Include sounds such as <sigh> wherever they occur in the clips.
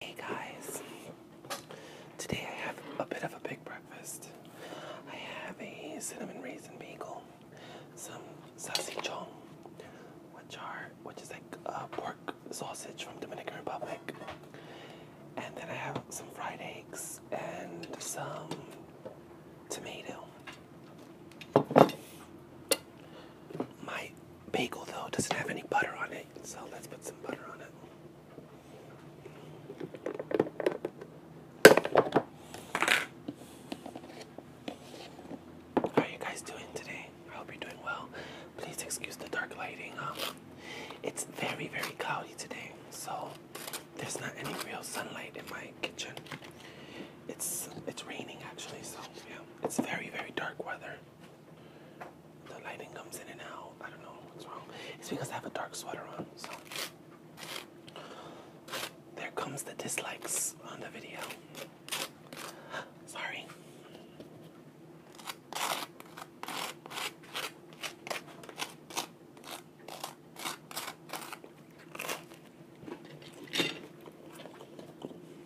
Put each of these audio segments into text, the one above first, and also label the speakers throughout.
Speaker 1: Hey guys, today I have a bit of a big breakfast. I have a cinnamon raisin bagel, some salsichon, which are which is like a uh, pork sausage from Dominican Republic, and then I have some fried eggs and some tomato. My bagel though. doesn't have any butter on it, so let's put some butter on it. How are you guys doing today? I hope you're doing well. Please excuse the dark lighting. Um, it's very, very cloudy today, so there's not any real sunlight in my kitchen. It's it's raining actually, so yeah, it's very, very dark weather. The lighting comes in and out. I don't know what's wrong. It's because I have a dark sweater on. So there comes the dislikes on the video. <gasps> Sorry.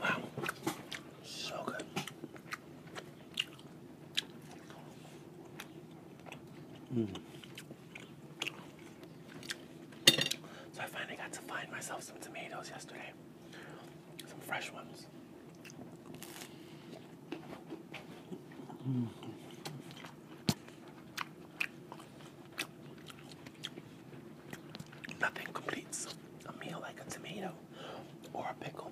Speaker 1: Wow, so good. So I finally got to find myself some tomatoes yesterday, some fresh ones. Nothing completes a meal like a tomato or a pickle.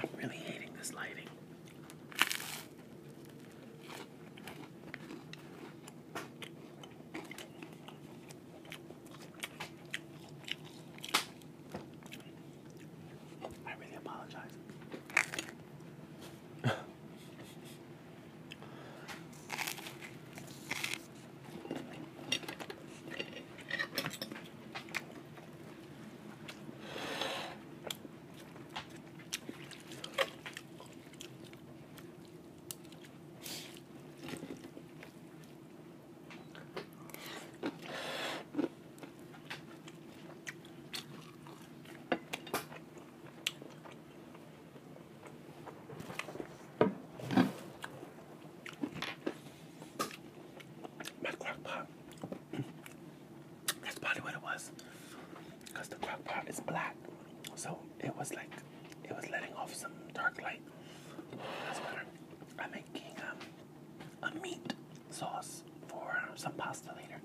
Speaker 1: I'm really hating this lighting. I really apologize. My crock pot. That's probably what it was. Because the crock pot is black. So it was like it was letting off some dark light. That's where I make king um a meat sauce for some pasta later.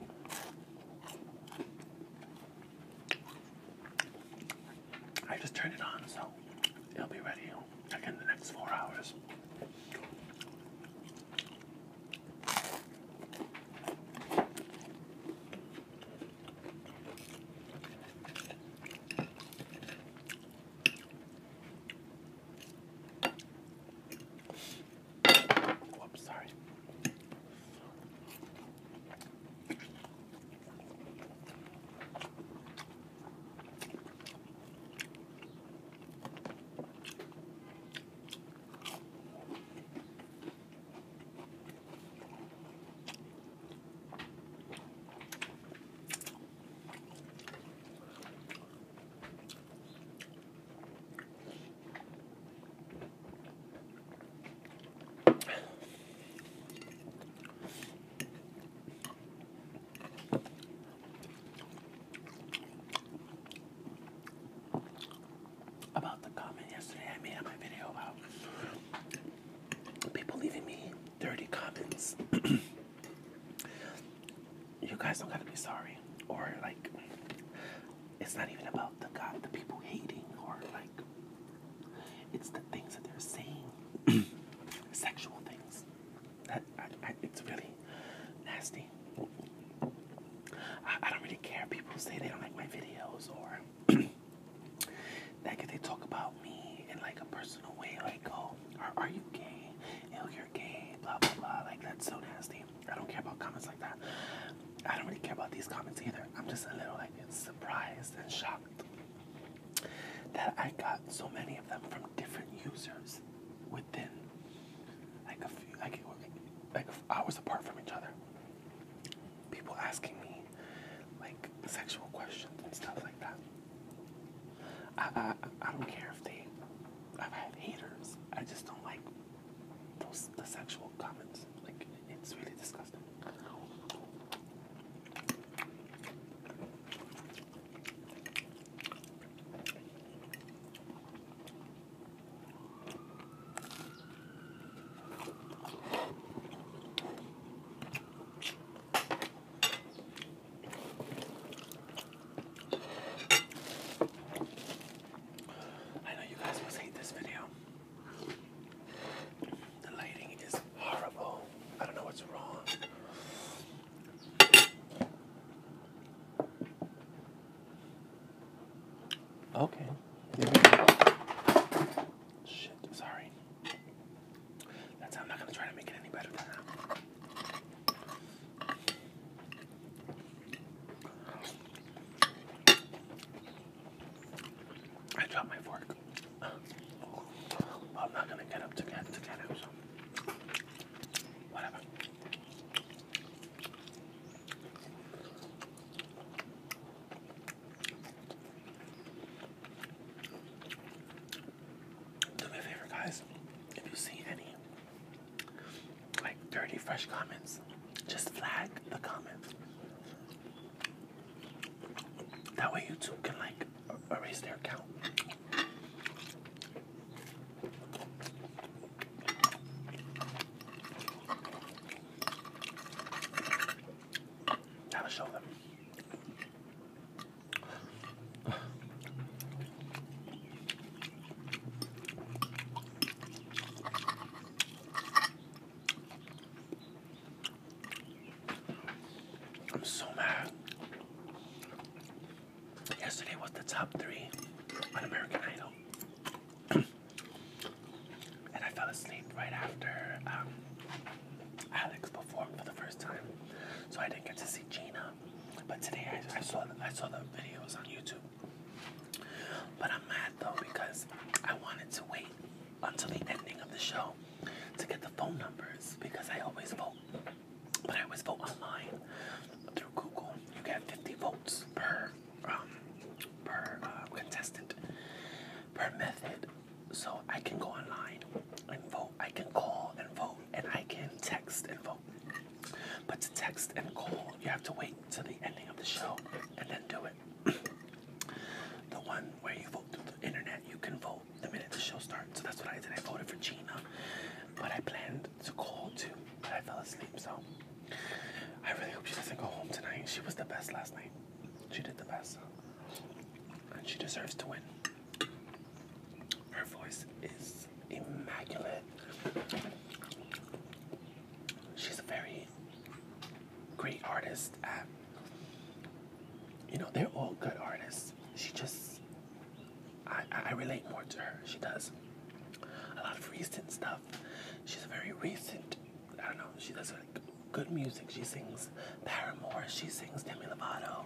Speaker 1: I just turned it on, so it'll be ready like in the next four hours. Whoops, sorry. About the comment yesterday I made on my video about people leaving me dirty comments. <clears throat> you guys don't gotta be sorry, or like, it's not even about the God, the people hating, or like, it's the things that they're saying, <clears throat> sexual things. That I, it's really nasty. I, I don't really care. People say they don't like my videos, or <clears throat> like they talk about me in like a personal way, like oh, are, you gay? Oh, you're gay, blah blah blah. Like that's so nasty. I don't care about comments like that. I don't really care about these comments either. I'm just a little like surprised and shocked that I got so many of them from different users within like a few like like hours apart from each other. People asking me like sexual questions and stuff like that. I, I, I don't care if they, I've had haters. I just don't like those the sexual comments. Like it's really disgusting. I know you guys must hate this video. The lighting is horrible. I don't know what's wrong. Okay. Shit, sorry. That's I'm not gonna try to make it any better than that. I dropped my fork. I'm not gonna get up to get to get it. whatever. Do me a favor, guys. If you see any like dirty, fresh comments, just flag the comments. That way, YouTube can like erase their account. That'll show them. I'm so mad. Yesterday was the top three on American Idol. <clears throat> and I fell asleep right after um, Alex performed for the first time, so I didn't get to see Gina. But today I, saw the, I saw the videos on YouTube. But I'm mad though because I wanted to wait until the ending of the show to get the phone numbers because I always vote. But I always vote online through Google. You get 50 votes per um, per uh, contestant per method. So I can go online and vote. I can call and vote, and I can text and vote. But to text and call, you have to wait till the ending of the show and then do it. <clears throat> the one where you vote through the internet, you can vote the minute the show starts. So that's what I did. I voted for Gina, but I planned to call too, but I fell asleep. So I really hope she doesn't go home tonight. She was the best last night. She did the best. And she deserves to win. Her voice is immaculate. She's a very great artist at you know, they're all good artists. She just I, I relate more to her. She does a lot of recent stuff. She's a very recent I don't know. She does good music. She sings Paramore. She sings Demi Lovato.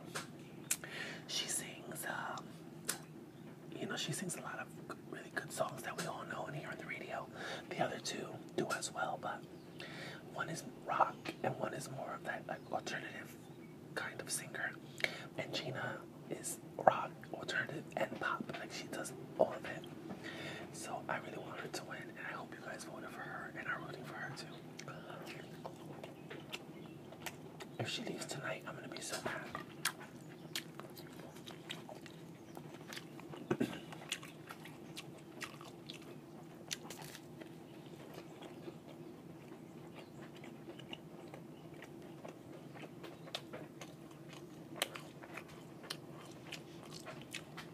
Speaker 1: She sings, um, you know, she sings a lot of really good songs that we all know and hear on the radio. The other two do as well, but one is rock and one is more of that like alternative kind of singer. And Gina is rock, alternative, and pop. Like she does all of it. So I really want her to win, and I hope you guys voted for her and are rooting for her too. If she leaves tonight, I'm gonna be so mad.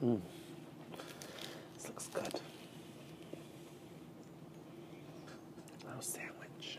Speaker 1: Mm. This looks good. Little sandwich.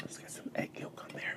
Speaker 1: Let's get some egg yolk on there.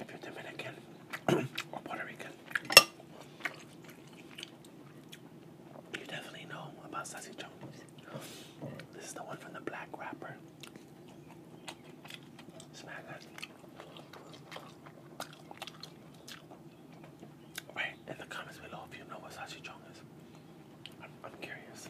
Speaker 1: If you <clears throat> or Puerto Rican, you definitely know about Sassy Jones. This is the one from the black wrapper. Smack that. Right in the comments below if you know what Sassy Jones is. I'm curious.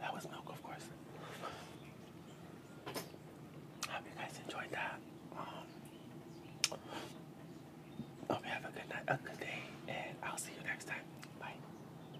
Speaker 1: That was milk, of course. hope you guys enjoyed that. Um, hope you have a good night, a good day, and I'll see you next time. Bye.